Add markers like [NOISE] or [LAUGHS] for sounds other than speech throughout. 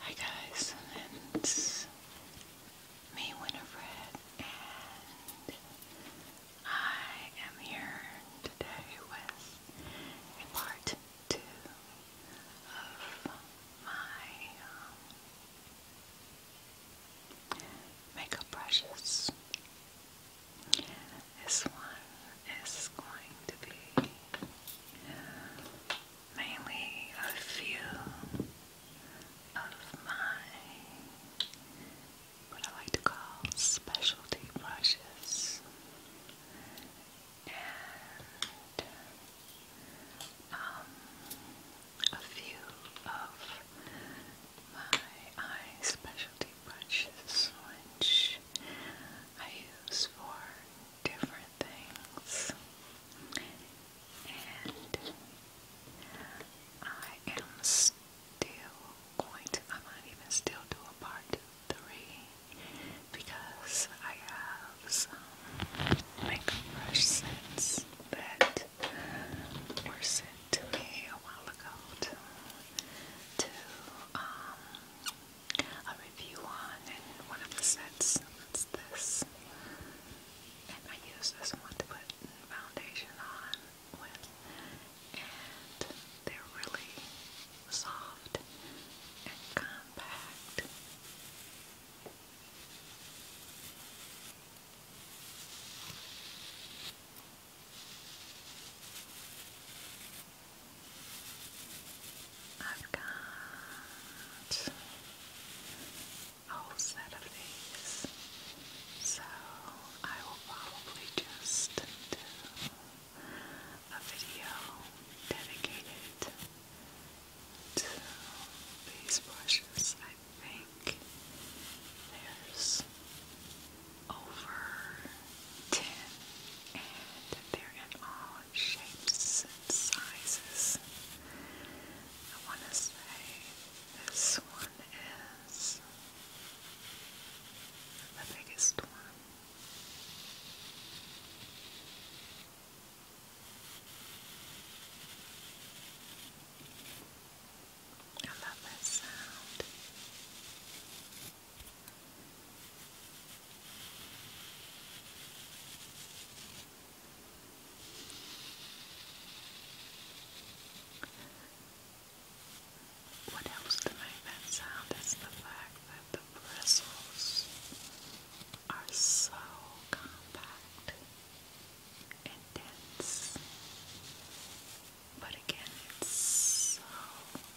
Hi guys, it's me Winifred and I am here today with part two of my um, makeup brushes. This one is going to be mainly a few of my what I like to call specialty brushes. And um, a few of my eye specialty brushes, which I use for different things. And I am still going to, I might even still do a part three because I have some makeup brush sets that were sent to me a while ago to, to um, a review on in one of the sets. That's this. And I use this one to put foundation on with. And they're really soft and compact. I've got a whole set of these, so I will probably just do a video dedicated to these brushes. I think there's over 10 and they're in all shapes and sizes. I want to say this one is the biggest one. I love that sound. What helps to make that sound is the fact that the bristles are so compact and dense. But again, it's so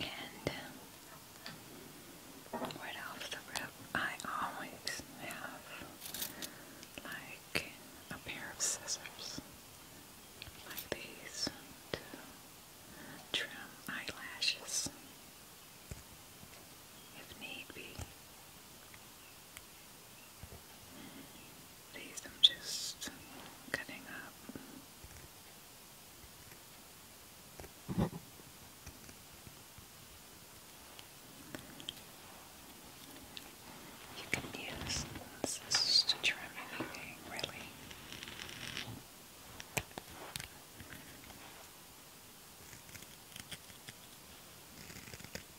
And um, right off the rip, I always have like a pair of scissors like these to trim eyelashes if need be. These I'm just cutting up. You can use scissors to trim anything, really.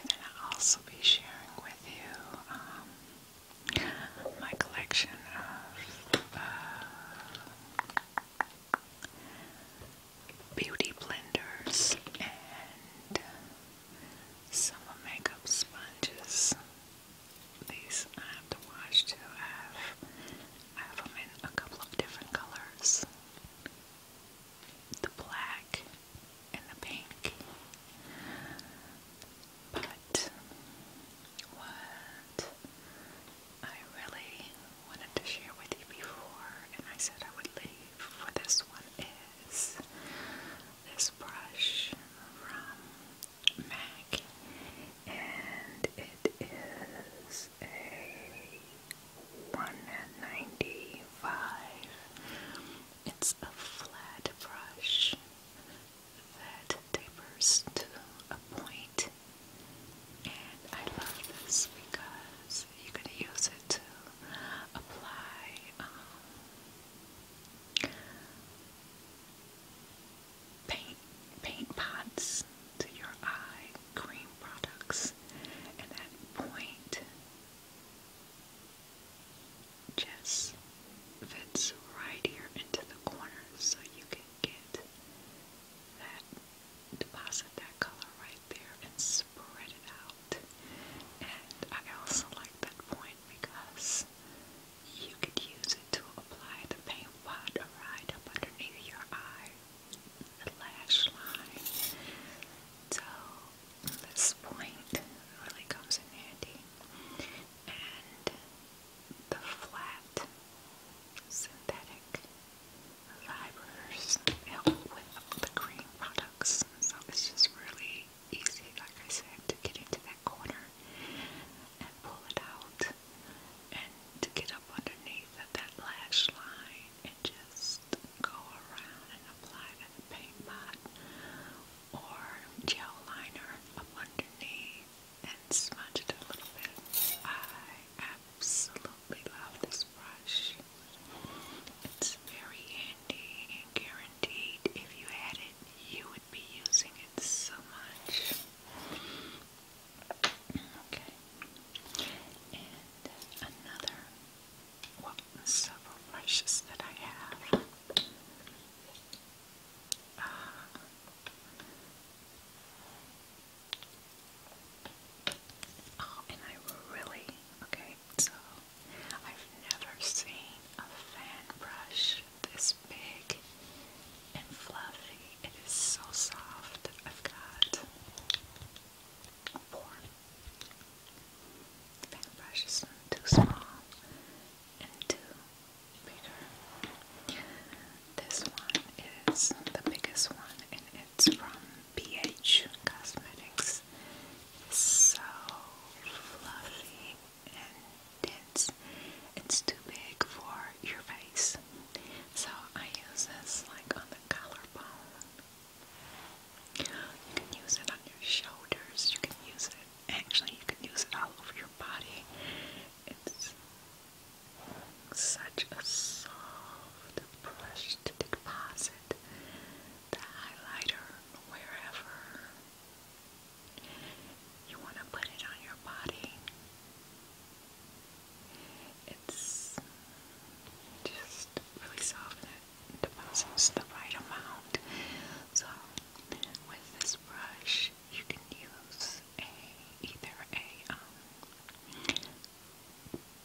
And then I'll also be sharing with you um, my collection of uh, beauty blenders and summer makeup sponges. These I have to wash too. I have them in a couple of different colors the black and the pink, but what I really wanted to share with you before, and I said I would leave for this one, is this brush from MAC, and it is a 195 it's a flat brush that tapers to a point, and I love this because you can use it to apply um, paint paint pots to your eye cream products, and that point just fits right here into the corner so you can get that deposit that color right there and spread it out. And I also like that point because you could use it to apply the paint pot right up underneath your eye, the lash line. So this point really comes in handy. And the flat synthetic fibers help with the cream products. So it's just really easy, like I said, to get into that corner and pull it out and to get up underneath of that lash line and just go around and apply to the paint pot or gel liner underneath and smudge it a little bit. I absolutely love this brush. It's very handy and guaranteed if you had it, you would be using it so much. Okay. And another what several brushes that I have. Uh, oh, and I really, okay, so I've never seen a fan brush this big and fluffy. It is so soft. I've got four the paintbrush too small and too bigger. This one is the biggest one and it's from BH Cosmetics. It's so fluffy and dense. It's too big for your face. So I use this like on the collarbone you can use it on your shoulders, you can use it, actually, you can use it all over your body. It's such a soft brush to deposit the highlighter wherever you want to put it on your body. It's just really soft deposits the right amount. So with this brush, you can use a either a um,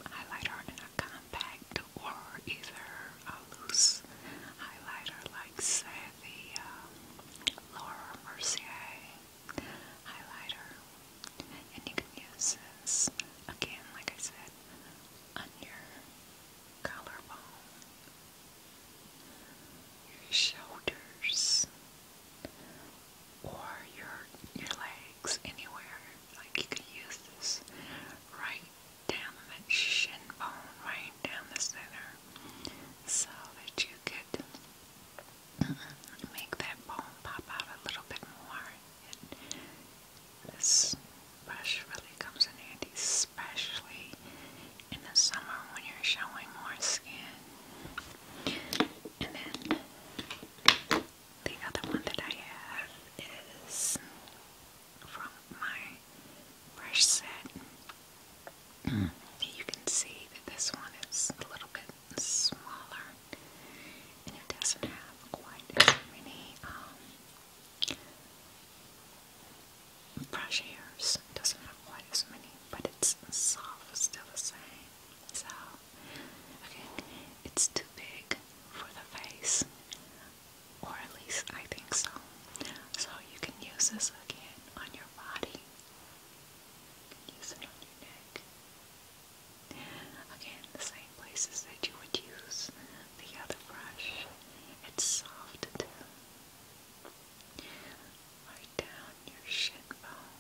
highlighter in a compact or either a loose highlighter like say the um, Laura Mercier highlighter. And you can use this again, like I said, on your collarbone, your shoulders, or your your legs anywhere. Like you can use this right down that shin bone, right down the center, so that you could make that bone pop out a little bit more. This brush really comes in handy, especially in the summer when you're showing more skin. And then the other one that I have is from my brush set. you can see that this one is a little bit smaller and it doesn't have quite as many um, brush hairs. doesn't have quite as many, but it's soft, still the same. So, okay, it's too big for the face, or at least I think so. So you can use this again on your body. Use it on your neck. Again, the same places that you would use the other brush. It's soft too. Right down your shin bone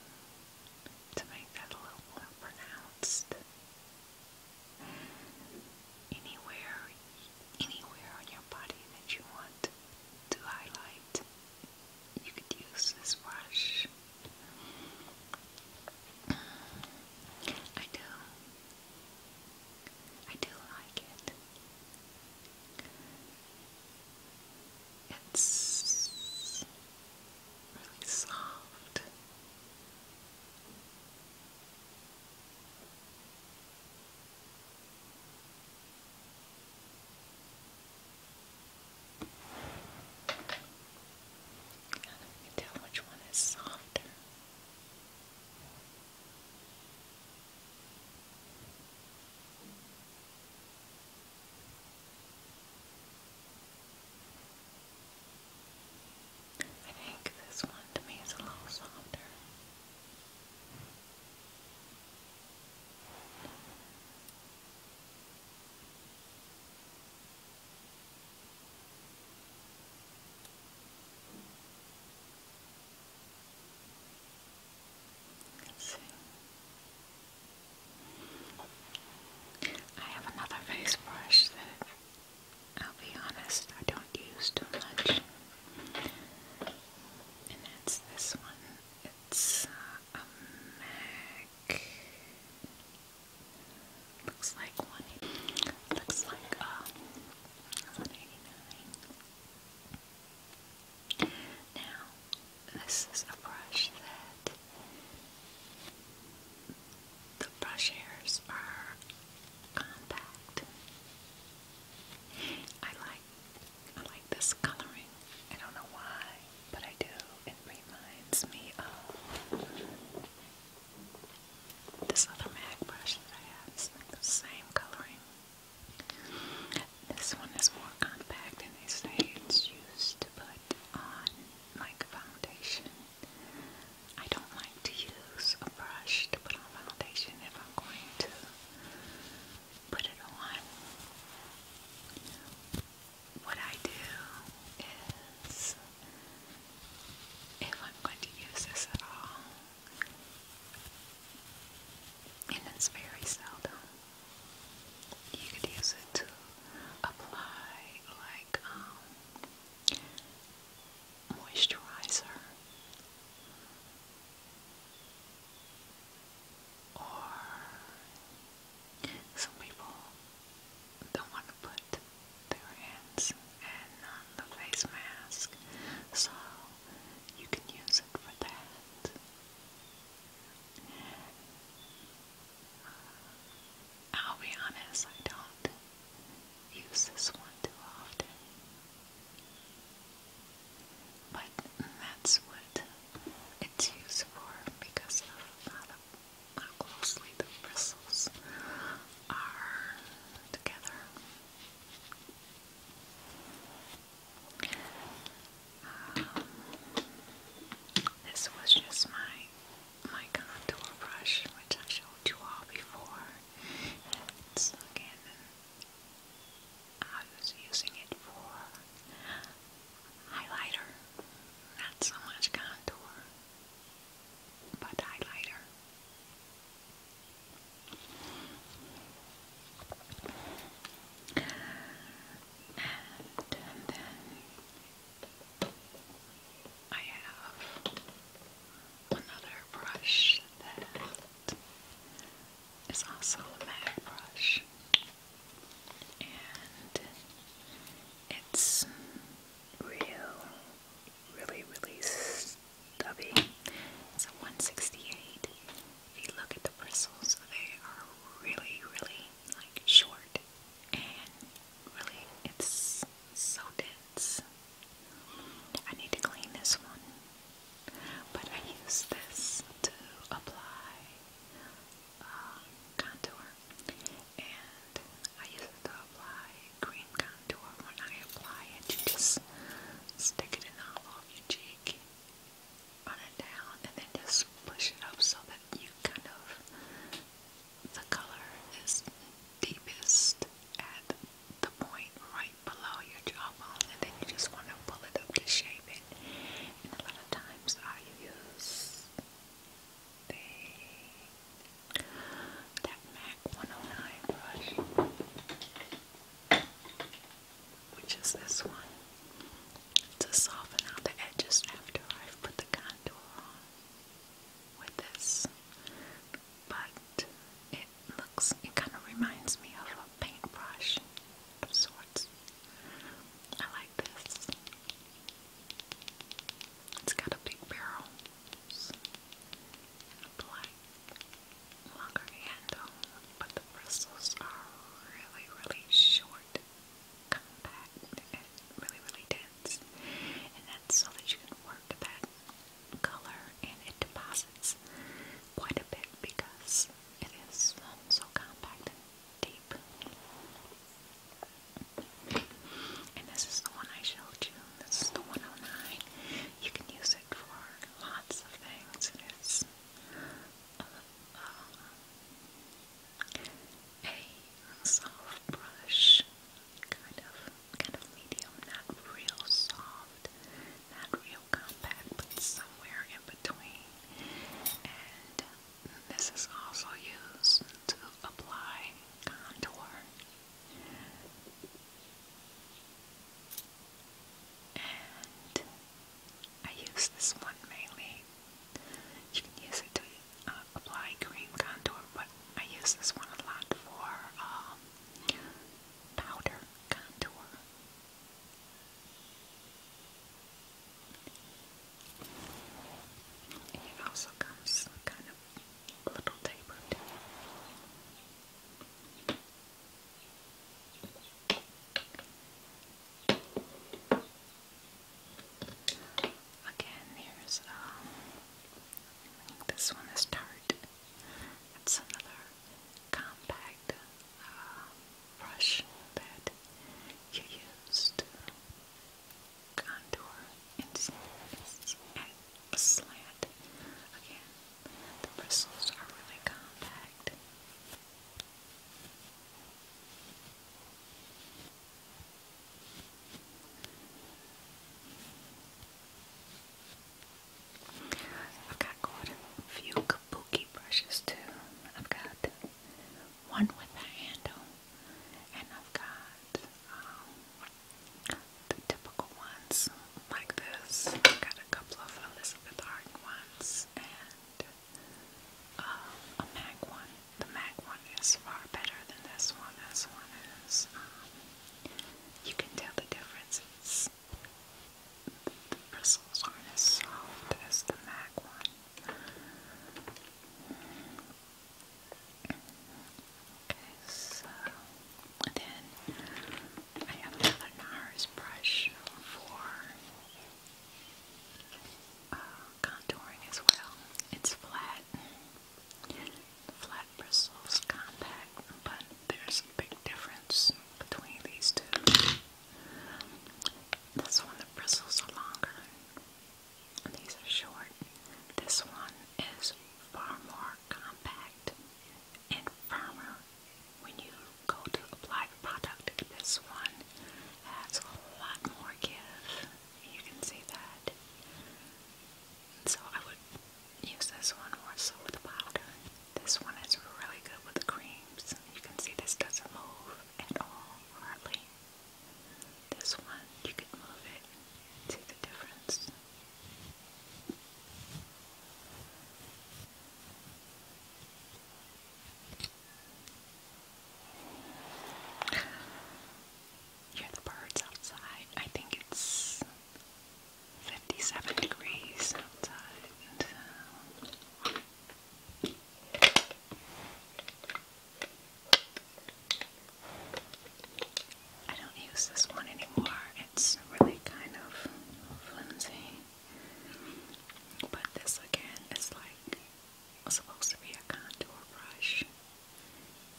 to make that a little more pronounced. Anywhere, anywhere on your body that you want to highlight, you could use this brush. I do I do like it. It's really soft. I don't know which one is softer. I think this one to me is a little softer. I have another face brush that I'll be honest, I don't use too much. And that's this one. It's uh, a MAC. Looks like one. Looks like um, now, this is a brush that the brush hairs are compact. I like I like this coloring. I don't know why, but I do. It reminds me of this other mag brush that I have is the same coloring. This one is more compact and they say it's used to put on like foundation. I don't like to use a brush to put on foundation if I'm going to put it on. What I do is, if I'm going to use this at all, and it's very seldom. You could use it to apply like um, moisturizer or some people don't want to put their hands and on um, the face mask, so you can use it for that. Uh, I'll be honest, I don't use this one too often. But that's what it's used for because of how, closely the bristles are together. Um, this was just my my contour brush, which I showed you all before. It's again, I was using it for highlighter, not so much contour, but highlighter. And, and then I have another brush that is also a MAC brush, and it's real, really, really. It's a 168. If you look at the bristles, they are really, really like short and really it's so dense. I need to clean this one, but I use this to apply uh, contour, and I use it to apply cream contour when I apply it. You just stick it in the hollow of your cheek, run it down, and then just push it up so that you kind of, the color is deepest at the point right below your jawbone, and then you just want to pull it up to shape it. And a lot of times I use that MAC 109 brush which is this one to soften out the edges after I've put the contour on with this but it looks it kind of reminds me of a paintbrush of sorts I like this it's got a big barrel black longer handle, but the bristles are really, really short, compact, and really, really dense. And that's so that you can work that color and it deposits quite a bit because it is so compact and deep. And this is the one I showed you. This is the 109. You can use it for lots of things. It is uh, a, soft brush, kind of, kind of medium, not real soft, not real compact, but somewhere in between. And this is also used to apply contour. And I use this one mainly. You can use it to uh, apply cream contour, but I use this one a lot for um, powder contour. it also comes kind of a Again, here's um, this one is tart. It's another compact uh, brush that you use to contour. It's, a slant. Again, the bristles are really compact. I've got a few kabuki brushes too. I've got one with a handle, and I've got um, the typical ones like this. I got a couple of Elizabeth Arden ones and uh, a MAC one. The MAC one is far better than this one. This one is, um, you can tell the difference. the bristles aren't as soft as the MAC one. Okay, so then I have another NARS brush for contouring as well. It's flat, flat bristles, compact, but there's a big difference between these two. This one, the bristles are longer. These are short. This one is far more compact and firmer when you go to apply the product. This one has a lot more give. You can see that. So I would use this one more so with the powder. This one is really good with the creams. You can see this doesn't move at all, hardly. This one, you can move it. See the difference? Hear the birds outside. I think it's 57 degrees outside. I don't use this one anymore. It's really kind of flimsy. But this again is like supposed to be a contour brush.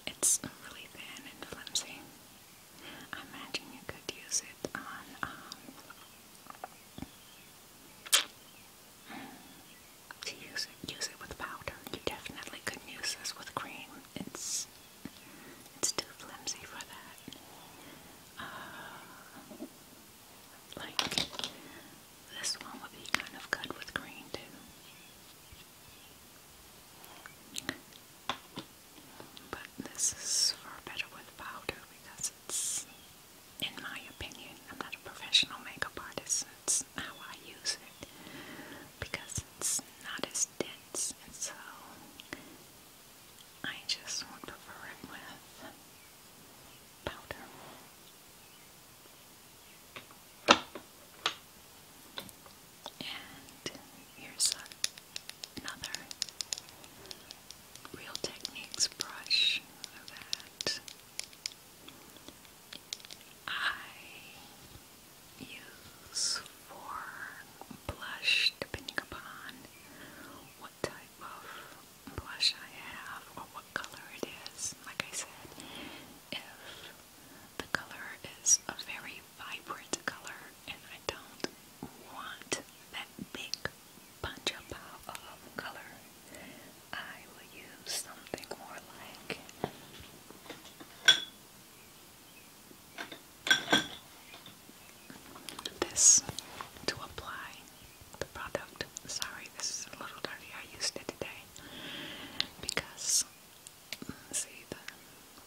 It's really thin and flimsy. I imagine you could use it on um to use it use it with powder. You definitely could use this with cream. It's it's too flimsy for that. Uh, like, this one would be kind of good with green, too. But this is far better with powder because it's, in my opinion, I'm not a professional makeup artist, it's how I use it. Because it's not as dense, and so I just want to cover it with powder. And here's another Real Techniques brush that I use for blush depending upon what type of blush I have or what color it is. Like I said, if the color is a very vibrant color and I don't want that big punch up of color, I will use something more like this to apply the product. Sorry, this is a little dirty. I used it today because mm, see the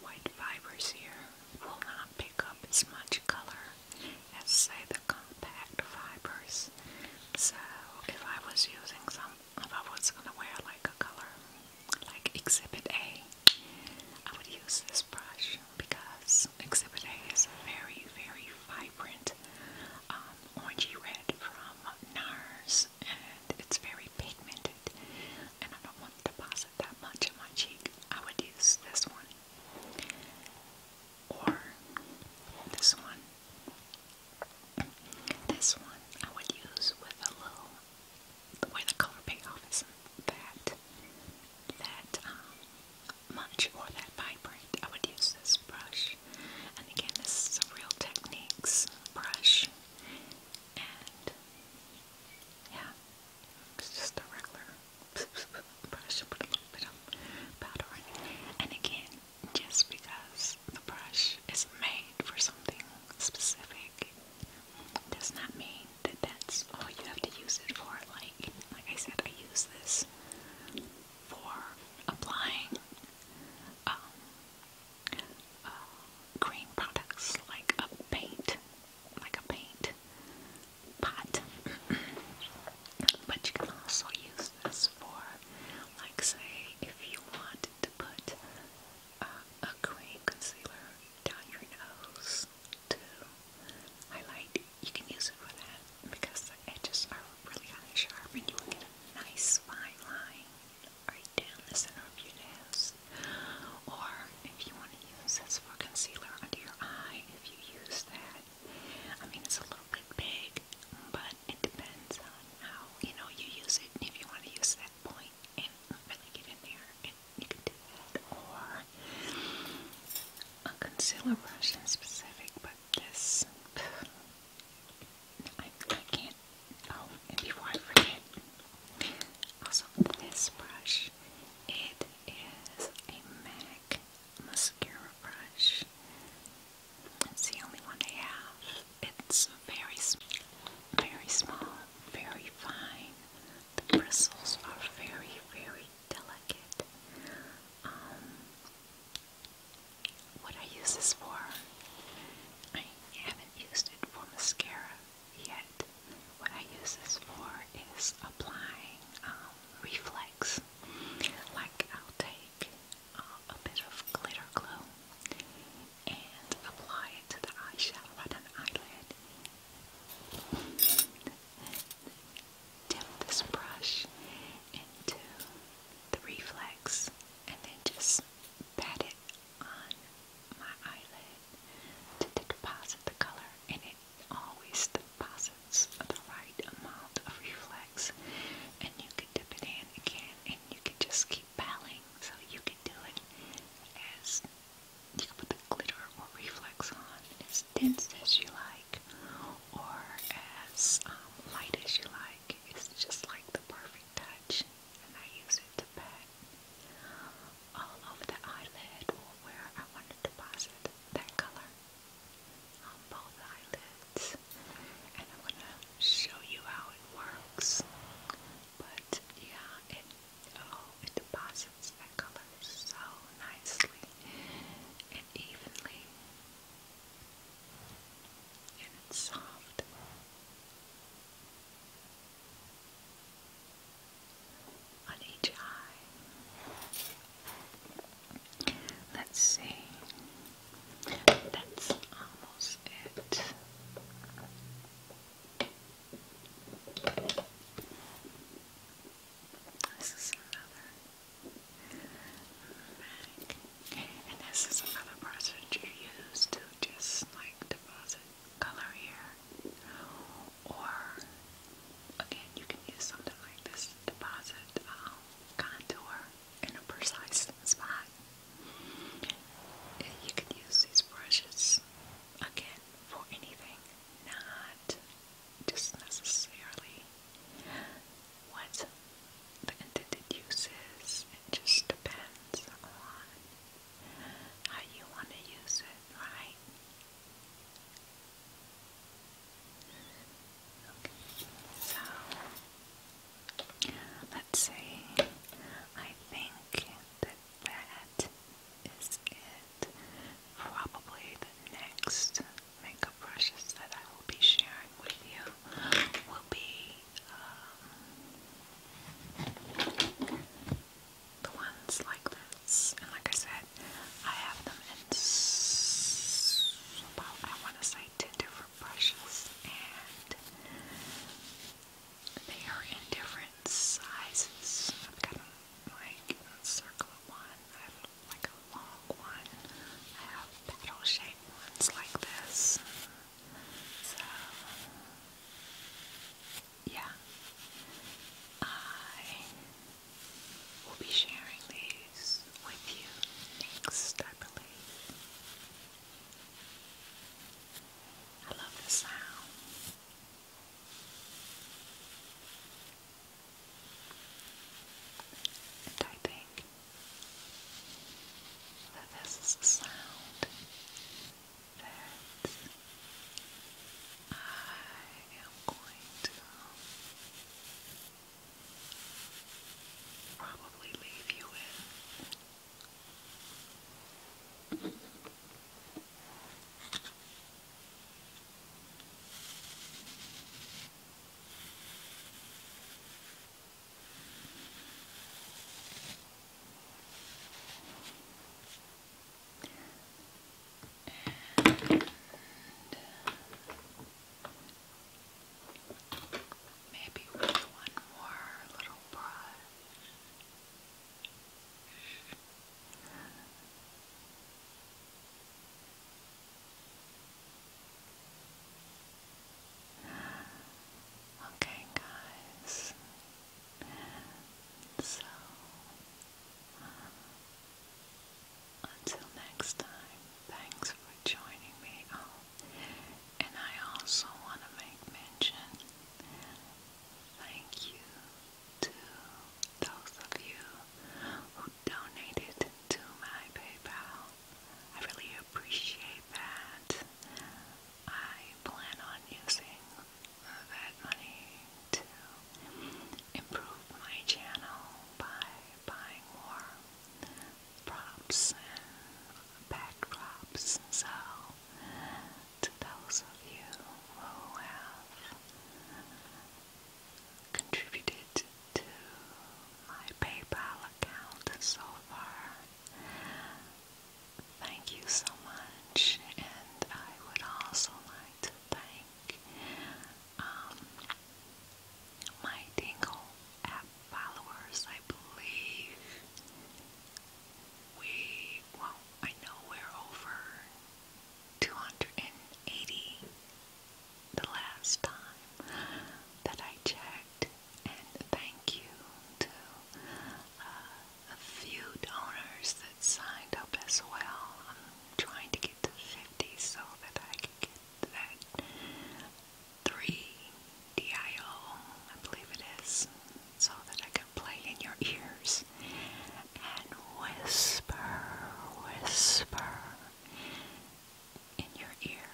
white fibers here will not pick up as much color as say the compact fibers. So if I was using some if I was gonna wear like a color like exhibit A I would use this brush because Exhibit A is very, very vibrant um, orangey red from NARS and it's very pigmented and I don't want to deposit that much in my cheek. I would use this one or this one. This one I would use with a the way the color payoff is that that um, much or that vibrant. I would use this brush, and again, this is a Real Techniques brush, and yeah, it's just a regular [LAUGHS] brush. Put a little bit of powder on and again, just because the brush is made for something specific does not mean that that's all oh, you have to use it for. Like, like I said, I use this for applying um, uh, green products, like a paint, like a paint pot. but you can also use this for, like, say, if you want to put uh, a green concealer down your nose this to highlight. You can use it for that because the edges are really kind of sharp and you will get a nice fine line right down the center of your nose. Or if you want to use this for concealer under your eye, if you use that. I mean, it's a little bit big, but it depends on how, you know, you use it. If you want to use that point really and really get in there you can do that or a concealer brush in specific but this [SIGHS] I, I can't oh and before I forget also this brush it is a MAC mascara brush it's the only one I have it's very small, very fine, the bristles are very, very delicate. Um, what I use this for, I haven't used it for mascara yet. What I use this for is applying um, reflex. Like I'll take uh, a bit of glitter glow and apply it to the eye shadow on an eyelid dip this brush into the reflex and then just pat it on my eyelid to, deposit the color and it always deposits the right amount of reflex and you can dip it in again and you can just keep piling so you can do it as you can put the glitter or reflex on as dense as you like or as um, light as you like. It's just like the perfect touch, and I use it to pat all over the eyelid where I want to deposit that color on both eyelids. And I'm going to show you how it works. But yeah, it oh, it deposits that color so nicely evenly, and it's soft. On each eye. Let's see. That's almost it. This is another And this is another brush that you use to just like deposit color here. Or again you can use something like this to deposit um, contour in a precise spot. You can use these brushes again it for anything, not just necessarily what the intended use It just depends on how you want to use it, right? Okay, so let's see. I think that is it. Probably the next makeup brushes that I will be sharing with you will be um, the ones like this. And like I said, I have them in about I want to say ten different brushes and they are in different sizes. I've got like a circle one. I have like a long one. I have petal shaped ones like this. So yeah. I will be sharing these with you next, I believe. I love the sound. And I think that this is a sound that I am going to probably leave you in. And maybe with one more little brush. Okay, guys. So, until next time, thanks for joining me. Oh, and I also want to make mention thank you to those of you who donated to my PayPal. I really appreciate that. I plan on using that money to improve my channel by buying more props and backdrops. So to those of you who have contributed to my PayPal account so far. Thank you so much, and I would also like to thank um, my Dingle app followers. I believe we, well, I know we're over 280 the last time that I checked, and thank you to uh, a few donors that signed up as well. I'm trying to get to 50 so that I can get that 3 DIO, I believe it is, so that I can play in your ears and whisper, whisper in your ear.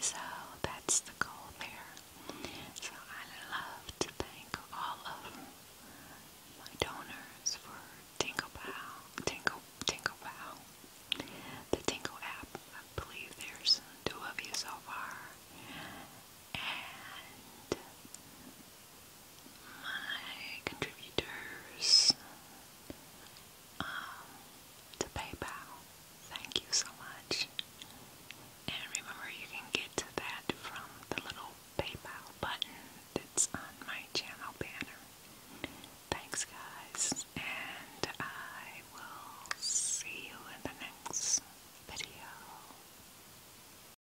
So that's the goal there. So I love to thank all of my donors for Tingle Bow, Tingle, Tingle Bow, the Tingle app. I believe there's two of you so far. And my contributors um, to PayPal. Thank you so much. And remember, you can get to that from the little PayPal button that's on my channel banner. Thanks, guys, and I will see you in the next video.